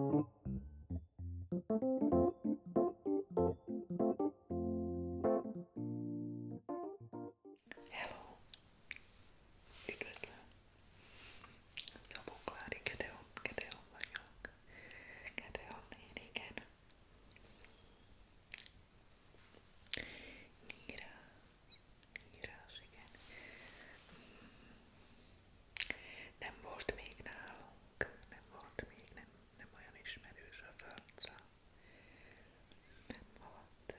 Hello! Üdvözlöm! Szabó Klári Gedeon, Gedeon vagyok. Gedeon én, igen. Nyírás, nyírás, igen. Nem volt még nálunk, nem volt még, nem, nem olyan ismerős az arca. Nem volt.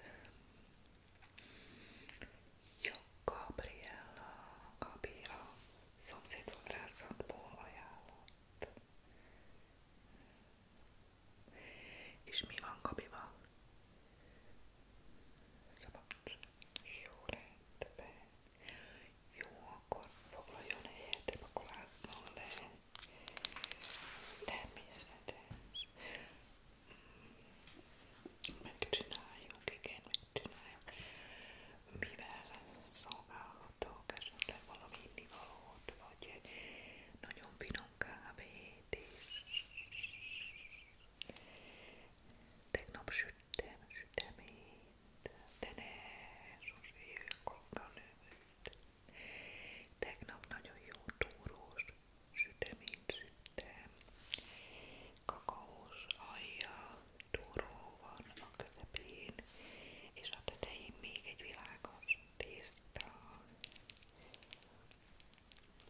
Jó, Gabriella, Gabi a szomszédfodrászatból ajánlott. És mi van Gabival? Szabad. Jó, rendben. Jó, akkor foglaljon helyet, akkor vázzon le. Természetes. Mm, megcsináljuk, igen, megcsináljuk. Mivel szolgálhatok esetleg valami innivalót, vagy egy nagyon finom kávét is. Tegnap süttem süteményt de sose jövök a növőt. Tegnap nagyon jó túrós, süteményt süttem, kakaós alja, túró van a közepén, és a tetején még egy világos tészta.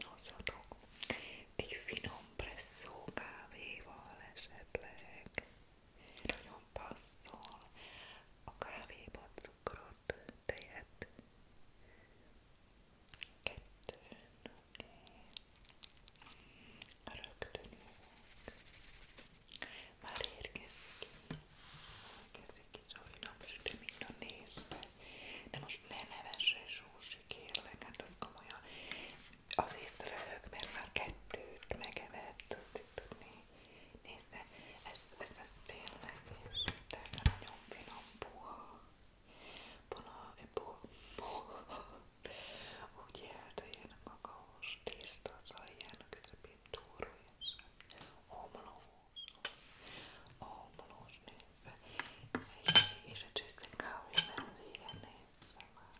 Hozzatok! egy finom presszó kávéval esetleg. Nagyon passzol a kávéba cukrot, tejet. Kettőn, oké. Okay. Rögtön jövök. Már érkezik. Érkezik is, ahogy napsütöm, mind a nézve. De most ne nevesse Zsósi, kérlek, hát az komolyan azért röhög, mert már kettőt megevett, tudsz tudni. Nézze, ez, ez, ez tényleg is, de nagyon finom, puha. Pona, puha, puha. Úgy élt, hogy ilyen a kakaós tészta, az alján a közepén túró, és omlós, omlós, nézze. És, és a csőszen kávé nem vége, nézze már.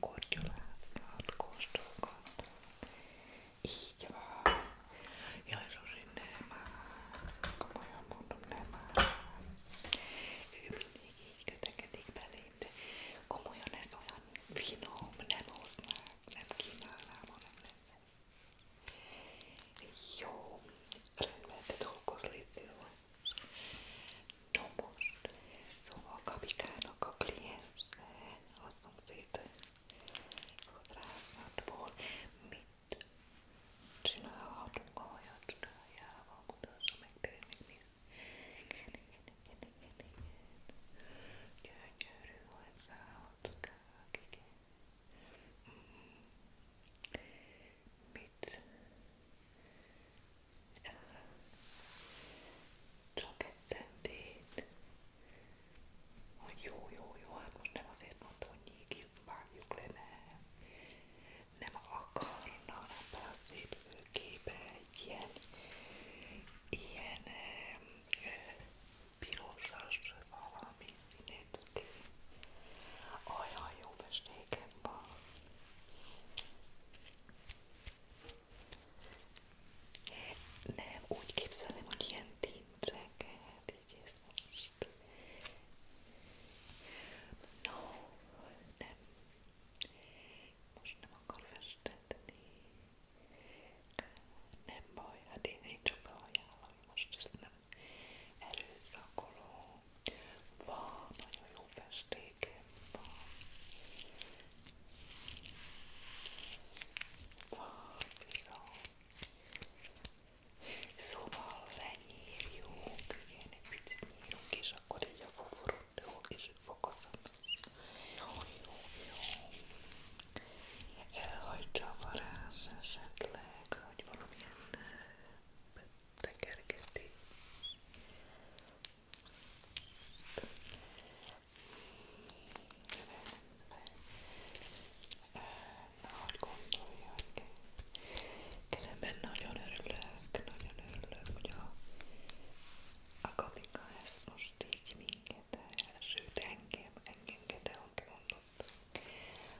kortyolászat, kóstolgat. Így van. Jaj, Zsuzsi, nem áll. Komolyan mondom, nem áll. Ő mindig így kötekedik belém, de komolyan ez olyan finom, nem hoznák, nem kínálnám, hanem nem. Jó, rendben, te dolgozz, légy szíves. Tomos. Szóval a kapikának a kliens a szomszéd fodrászatból mit csinálhatunk a hajacskájával? Mutassa meg, tényleg megnézd. Igen, igen, igen, igen, igen. Gyönyörű hozzá a hajacskák, igen. Mm. Mit csak egy centét. Ah, jó, jó, jó, hát most nem azért mondtam, hogy nyígjuk, vágjuk le, nem. Nem akarna ebben a szép szőkébe egy ilyen, ilyen eh, pirosas valami színét. Olyan jó festéken van. Nem, úgy képzelem, hogy ilyen tincseket, így ez most. No, nem. Most nem akar festetni. Nem baj, hát én, én csak felajánlom, most ezt nem erőszakolom. Van nagyon jó apró festékem van. Papíron. Szóval lenyírjuk, igen, egy picit nyírunk, és akkor így a foforot jó kicsit fokozat. Jó, jó, jó. Elhagyja a varázs esetleg, hogy valamilyen tekergeti. Ön ahogy gondolja, hogy különben nagyon örülök, nagyon örülök, hogy a Agatika ezt most így minket el, sőt engem, engem ott mondott.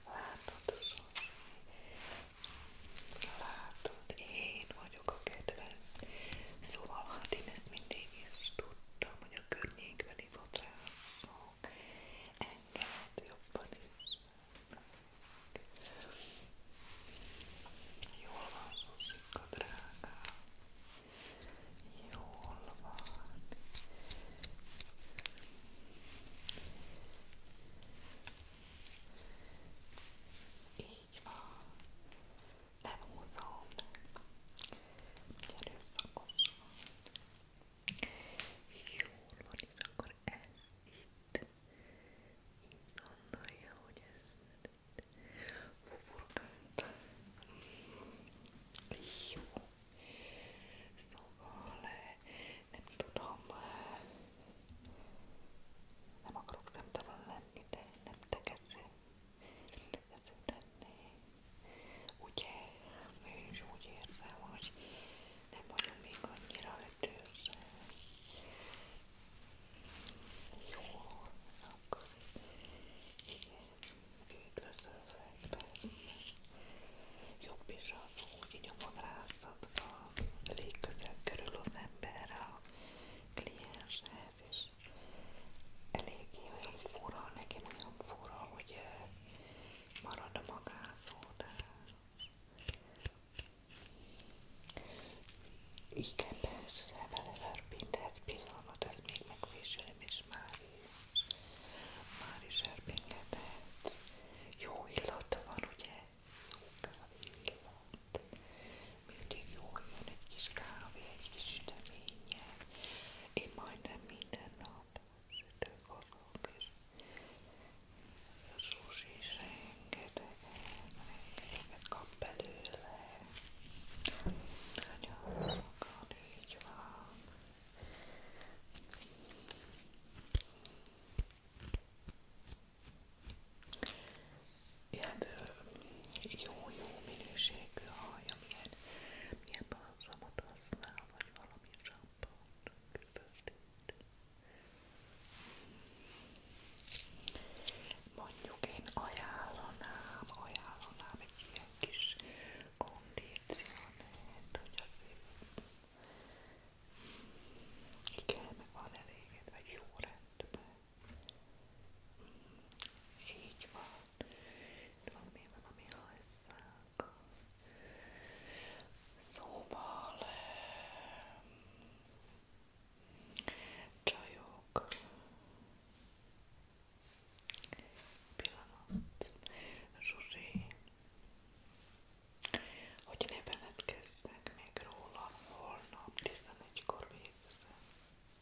Látod, Zsuzsi? Látod, én vagyok a kedvenc. Szóval hát én ezt mindig is tudtam, hogy a környékbeli fotrászok engem jobban is. Jól van, Zuzika drágám. Jól van. Így van nem húzom, erőszakos Jól van, és akkor ez itt így gondolja, hogy ez fufurkált. Jó. Szóval eh, nem tudom, eh, nem akarok szemtelen lenni, de nem tekezem tenni. Ugye, én is úgy érzem, hogy nem vagyok még annyira ötőző. Jó, akkor igen, üdvözöllek persze. Jobb is az, hogy nyomon rászad a légközeg körül az ember a klienshez, és és eléggé olyan fura, nekem olyan fura, hogy eh, marad a magázó, de igen, persze, vele verpinthetsz pillanat, ez még megvésülöm, és már is, már is erpingethetsz. Jó illata van, ugye? Jó kávé illat mellett. Mindig jó jön egy kis kávé, egy kis süteménye. Én majdnem minden nap sütök azok, és a Zsuzsi is rengetegen, rengeteget kap belőle. Nagyon sokat, így van ilyen jó-jó minőségű haj, amilyen milyen balzsamot használ, vagy valami zsampont külföldét. Mondjuk én ajánlanám, ajánlanám egy ilyen kis kondíciónét, hogy az igen, meg van eléged, vagy jó rendben. Így van. Tudom, mi van, ami hajszálka. Szóval... Csajok. Pillanat. Zsuzsi. Hogy ne benedkezzek még róla, holnap 11-kor végzem.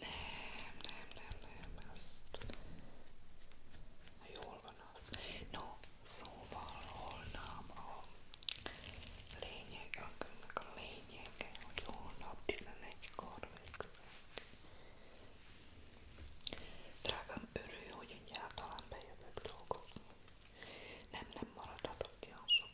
Nem, nem, nem, nem, azt... Na, jól van az. No, szóval holnap a lényeg, annak a lényege, hogy holnap 11-kor végzünk. Drágám, örülj, hogy egyáltalán bejövök dolgozni. Nem, nem maradhatok ki a sok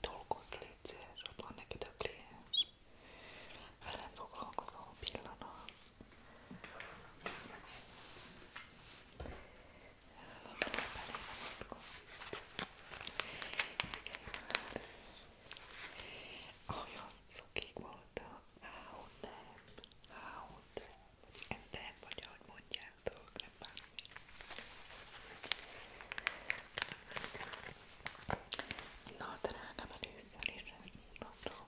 dolgozz, légy szíves, ott van neked a kliens. Velem foglalkozó pillanat. Olyan szokik voltak, áhú nem, áhú nem, vagy enden, vagy ahogy mondjátok, nem bármi. Na drágám, először is ezt mutatom.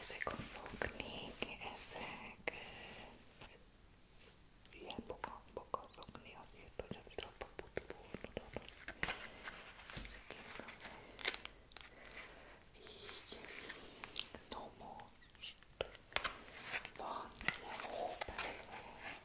Ezek a szoknék, ezek ilyen boka, boka szokni azért, hogy az a paputból tudod. Ezek így, no most van ilyen hóbelve,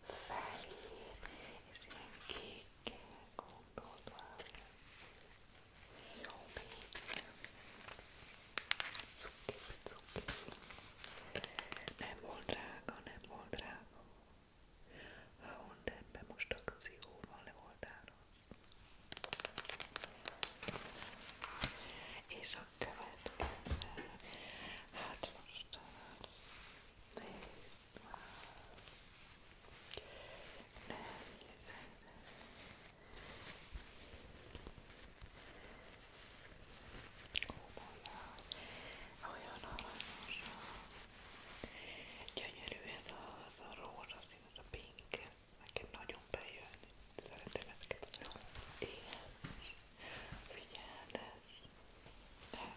fehér és ilyen kékkel gondolva lesz. Jó média. Cuki, cuki. Nem volt drága, nem volt drága. A Hondenben most akcióval le volt áraz. És a következő, hát most az this one. Then listen. Olyan, olyan aranyosan. Gyönyörű ez a, ez a rózsaszín, ez a pink, ez nekem nagyon bejön. Szeretem ezeket az Én. Figyeld, ez, ez,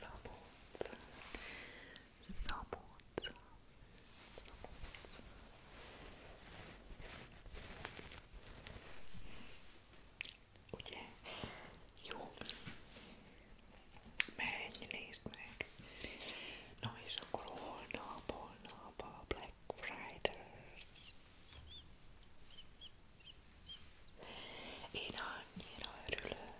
Szabolcs, Szabolcs, Szabolcs. Ugye? Jó. Menj, nézd meg. Na és akkor holnap, holnap a Black Friday. Én annyira örülök.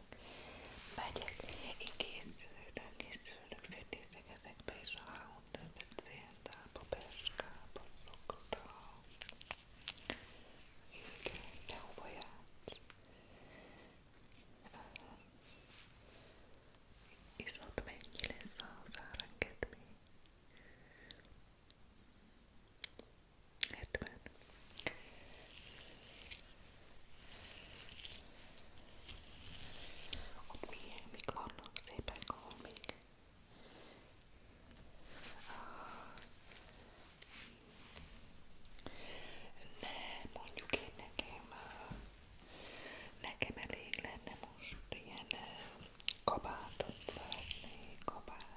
Megyek, én készülök, készülök, szétnézek ezekbe és a houndöbbe, céltába, perskába szoktam. Igen, de hova játsz? És ott mennyi lesz az árengedmény? 70 ott milyen, mik vannak szépen még ne, mondjuk én nekem nekem elég lenne most ilyen kabátot szeretnék, kabát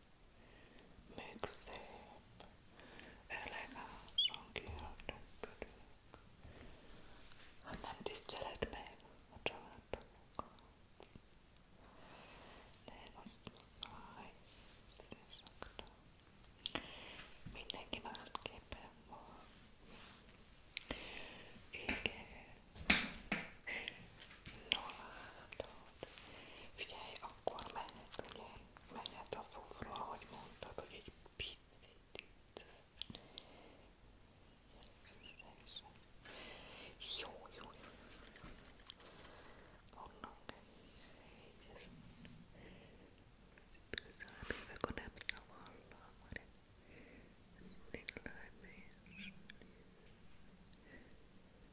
még szép, elegánsan kiöltözködünk. Hát nem tiszteled meg a családtagokat. De azt muszáj, szészakra. Mindenki másképpen van. Igen. No látod. Figyelj, akkor mehet, ugye? Mehet a fufra, ahogy mondtad, hogy egy picit. Jó, jó, jó. Vannak így ezt. Köszönöm, akkor nem szavallam, hanem mindig lájmér.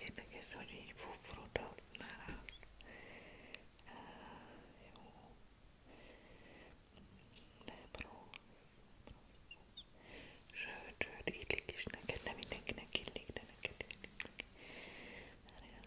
Érdekes, hogy így fufrut használsz. Jó. Nem rossz. Sőt, sőt, illik is neked, nem mindenkinek illik, de neked illik. Várjál.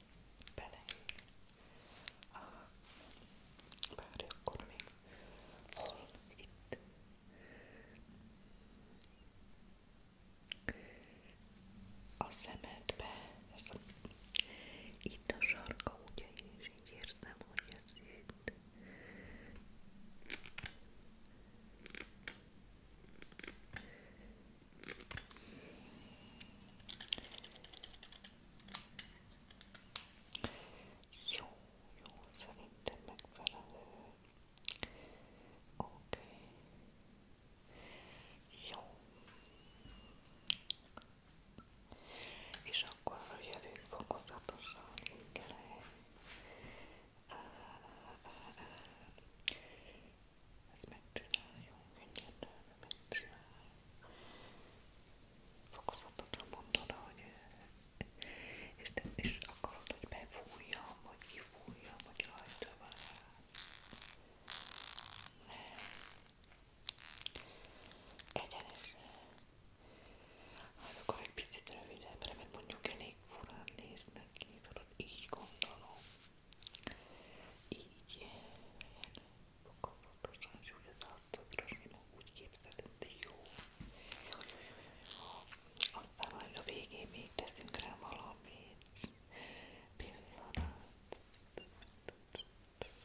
bele. Bár akkor még hol itt? A szemedbe, ez a, itt a sarka, ugye, és így érzem, hogy ez itt. Jó, jó, szerintem megfelelő. Oké. Okay. Jó. És akkor jövünk fokozatosan mindjárt. Ezt megcsináljuk mindjárt. Mint fokozatosan mondod, hogy és, te, és akarod, hogy befújjam, vagy kifújjam, vagy rajta van rá. Nem. Egyenesen. Hát akkor egy picit rövidebbre, mert mondjuk elég furán néznek ki, tudod, így gondolom. Így, ilyen fokozatosan, és úgy az arcodra, mindig úgy képzelted, jó. Aztán majd a végén még teszünk rá valamit. Pillanat. Oké,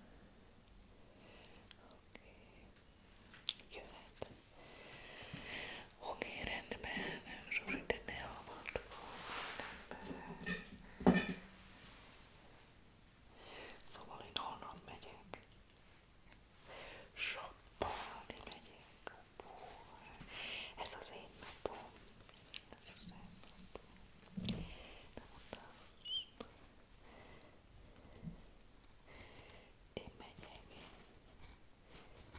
okay. jöhet. Oké, okay, rendben, Zsuzsi, de ne avatkozz, ne Szóval én onnan megyek. Soppalni megyek. Bú, ez az én napom. Ez az én napom. Nem mondtam. Én megyek.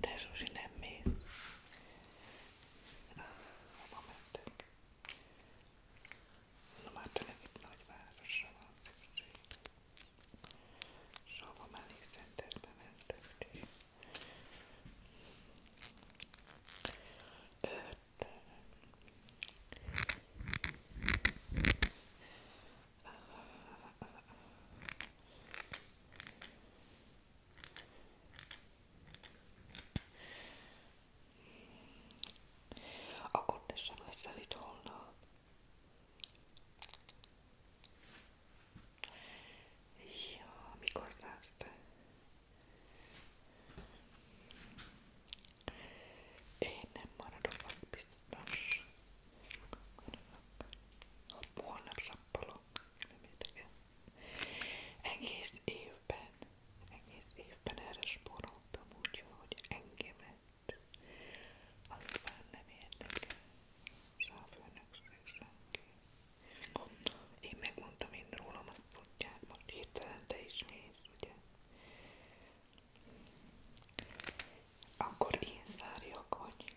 De Zsuzsi nem mész. Ah, hova mentek? Na már tényleg itt nagyvárosra van szükség. És hova menni szenterbe mentek ti? Öt. Ah, ah, akkor te sem leszel itt holnap. Ja, mikor szállsz te? Én nem maradok, az biztos. Holnap sappalok dolog, nem érdekel. Egész évben, egész évben erre spóroltam úgy, hogy engemet aztán nem érdekel. Sávőnek se senki. Én megmondtam én rólam, azt tudják, most hirtelen te is nézd, ugye? Akkor én szárjak vagy,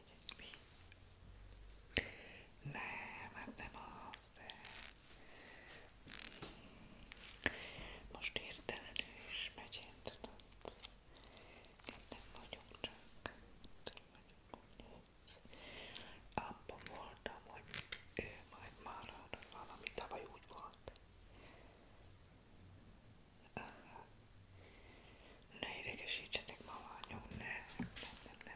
megyek mi? Nem, hát nem az, de... Most értelenül is megy, én tudod. Nem vagyok csak, tudom, vagyok Abban voltam, hogy ő majd marad, valami tavaly úgy volt. Aha. Ne idegesítsetek ma anyom, ne, nem, nem,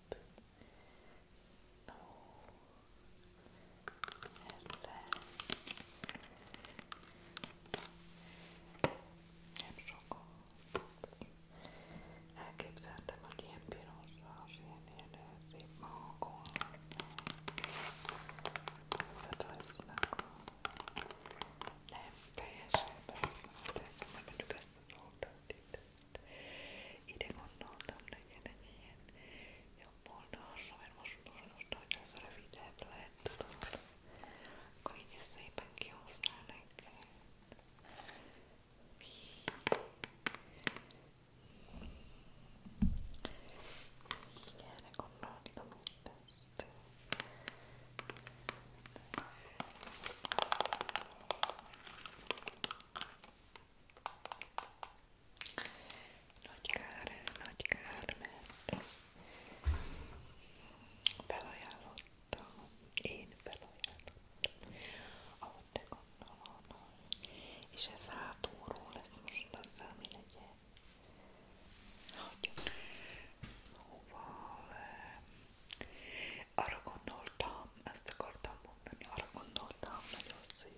Ó, ezzel nem sokkal elképzeltem, hogy ilyen pirosra, és ilyen, ilyen szép magakon tehát ha ezt nem, teljesen persze, de ezt nem mondjuk ezt az oldalt itt ide gondoltam, legyen egy ilyen jobb oldalra, mert most most, hogy az rövidebb lehet, tudod, akkor így ezt szépen kihoztál neked. Így erre gondoltam mindezt. Jó, nagy kár, nagy kár, mert felajánlottam, én felajánlottam, ahogy te gondolom, és ez hátulról lesz most az, ami legyen. Hagyom. Szóval eh, arra gondoltam, ezt akartam mondani, arra gondoltam nagyon szép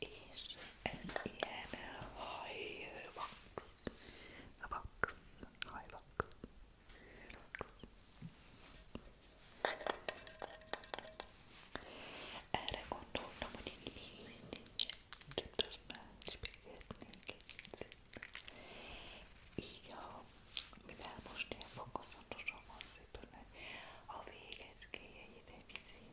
És ez ilyen hajvax. Vax. Hajvax. Vax. Erre gondoltam, hogy egy mindig gyötös mácsbégetni egy kicsit. Így a, mivel most ilyen fokozatosan van szépen, a végecskéjeit egy picit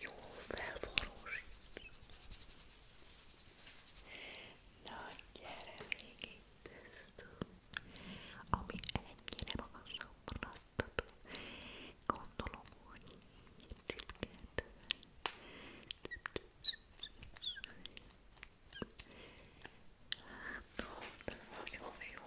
Jó, felforrósít. Na, gyere még itt ezt, ami ennyire magasra maradható. Gondolom, hogy így csipkedve. Hát, nagyon jó.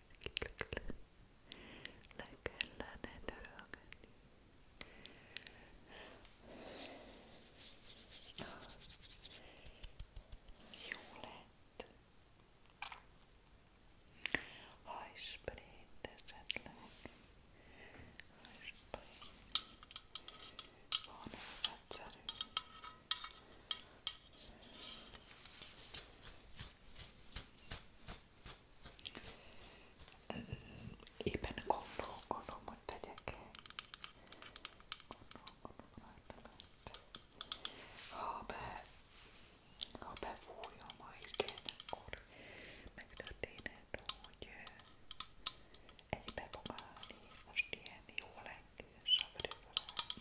le kellene törölgetni. Jó lett. Hajsprét esetleg. Hajsprét. Van ez egyszerű. Éppen gondolkodom, hogy tegyek el. Gondolkodom rajta lett. Ha be, ha befújja ma igen, akkor megtörténhet, hogy egybe fog állni most ilyen jó lengés a frizurány.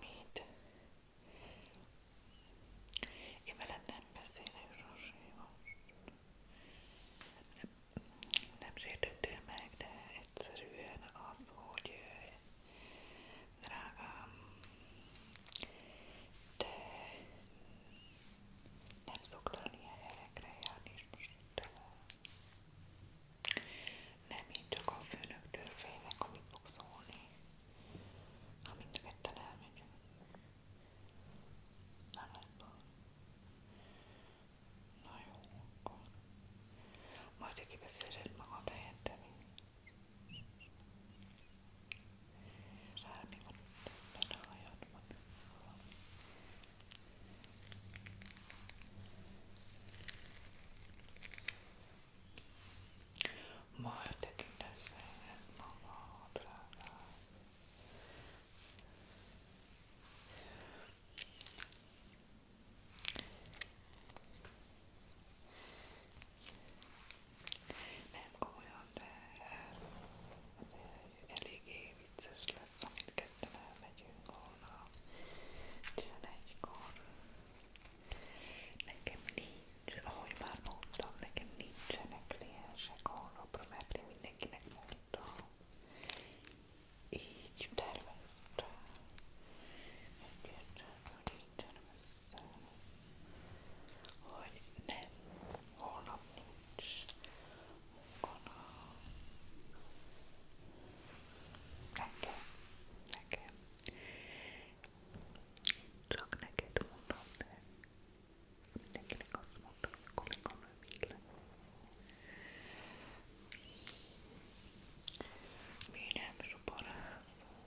Mit? Én veled nem beszélek, Zsuzsi, most. Nem, nem sértettél meg, de egyszerűen az, hogy drágám, te nem szoktál ilyen helyekre járni, és most te nem én csak a főnöktől félek, amit fog szólni, ha mind ketten elmegyünk. Nem lesz Na jó, akkor majd aki beszéled magad helyette mi. Rá mi van, benne a hajad van. Majd tekintesz el magadra. Nem komolyan, de ez eléggé vicces lesz, amit ketten elmegyünk holnap 11-kor. Nekem nincs, ahogy már mondtam, nekem nincsenek kliensek holnapra, mert én mindenkinek mondtam. Így terveztem. Egyértelműen így terveztem, hogy nem, holnap nincs, Gondolom. Nekem. Nekem. Csak neked mondom, de mindenkinek azt mondtam, hogy kolléganő mit lenne. Mi nem zsuborázunk.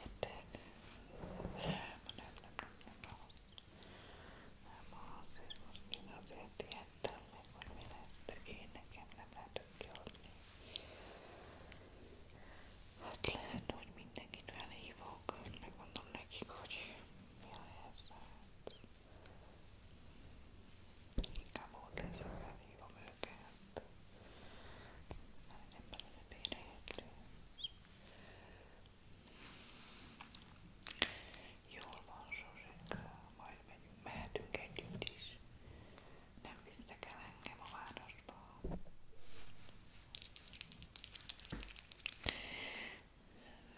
Érted? Nem, nem, nem, nem, nem, nem, Ma azért most én azért ijedtem meg, hogy mi lesz, de én nekem nem lehetett kiadni. Hát lehet, hogy mindenkit felhívok, megmondom nekik, hogy mi a helyzet. Inkább ott lesz, hogy felhívom őket. Már nem belőle bérhető. Jól van, Zsuzsika, majd megyünk, mehetünk együtt is. Nem visznek el engem a városba.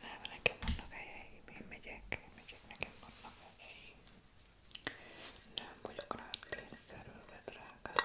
Nem, nekem vannak helyeim, én megyek, én megyek, nekem vannak helyeim. Nem vagyok rád kényszerülve, drágám.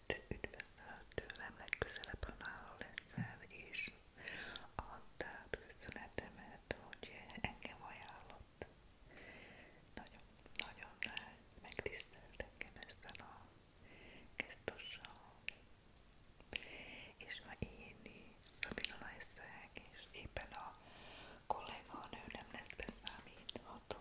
őt, üdvözöl tőlem legközelebb, ha nála leszel, és add át köszönetemet, hogy engem ajánlott. Nagyon, nagyon megtisztelt engem ezzel a gesztussal. És ma én Szabina leszek, és éppen a kolléganő nem lesz beszámítható.